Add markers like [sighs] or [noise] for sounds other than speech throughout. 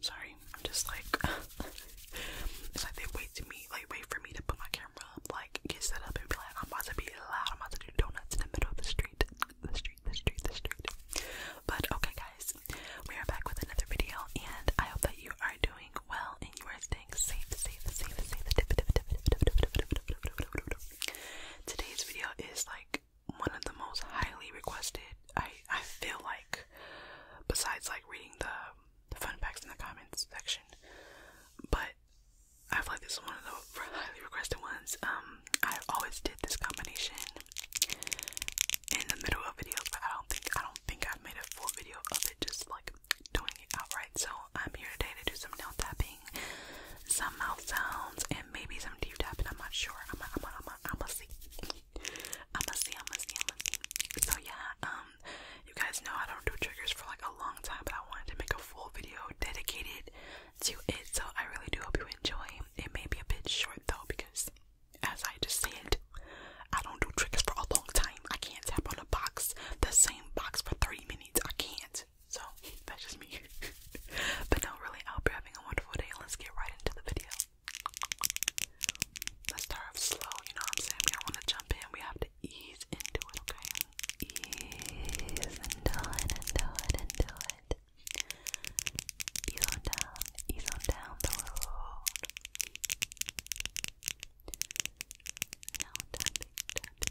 Sorry, I'm just like it's like they wait to me, like wait for me to put my camera up, like get set up and be like, I'm about to be loud, I'm about to do donuts in the middle of the street, the street, the street, the street. But okay, guys, we are back with another video, and I hope that you are doing well and you are staying safe, safe, safe, safe. Today's video is like one of the most highly requested I I feel like besides like reading the, fun facts in the comments section, but I feel like this is one of the [laughs] highly requested ones. Um, I always did this combination in the middle of videos, but I don't think I don't think I've made a full video of it, just like doing it outright. So I'm here today to do some nail tapping, some mouth sounds, and maybe some deep tapping. I'm not sure. I'm a, I'm i I'm a, I'm a see. I'ma see, I'ma see, I'ma see. So yeah, um, you guys know I don't do triggers for like a long time, but I wanted to make a full video dedicated to it. So I really do hope you enjoy. It may be a bit short though because, as I just said, I don't do triggers for a long time. I can't tap on a box, the same box for 30 minutes. I can't. So that's just me. [laughs] but no, really, I hope you're having a wonderful day. Let's get right into the video. Let's start off slow, you know what I'm saying? We don't want to jump in. We have to ease into it, okay? Ease into it, into it, into it. Ease on down, ease on down the road. Now tapping, tapping.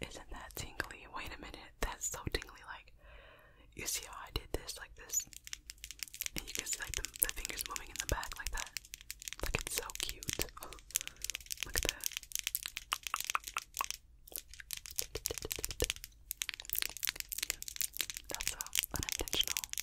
Isn't that tingly? Wait a minute, that's so tingly. Like, you see how I did this, like this, and you can see like the, fingers moving in the back like that. Like it's so cute. [laughs] Look at that. that's a unintentional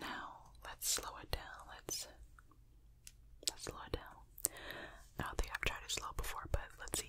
Now let's slow it down. Let's let's slow it down. I think I've tried to slow before, but let's see.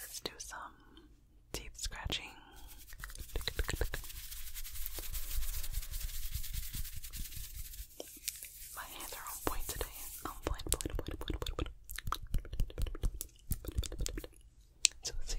Let's do some teeth scratching. My hands are on point today. On point, point, point, point, point, point. let's see.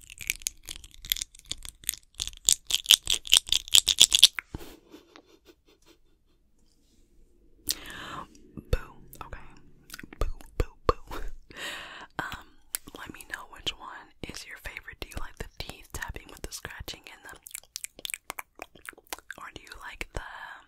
Boo, okay. Boo, boo, boo. [laughs] um, let me know which one is your favorite. Do you like the teeth tapping with the scratching in them, or do you like the um,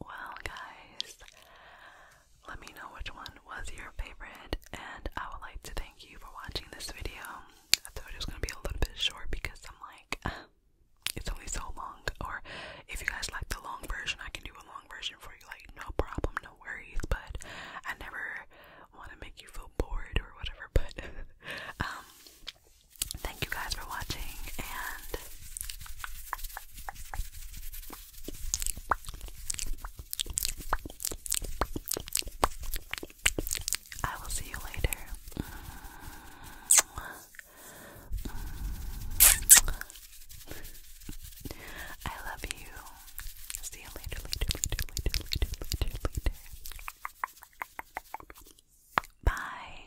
Well, guys, let me know which one was your favorite, and I would like to thank you for watching this video. I thought it was gonna be a little bit short because I'm like, [sighs] it's only so long. Or if you guys like the long version, I can do a long version for you, like no problem, no worries. But I never want to make you feel bored or whatever. [laughs] But um, thank you guys for watching, and I will see you later. I love you. See you later, later, later, later, later, later, later. Bye.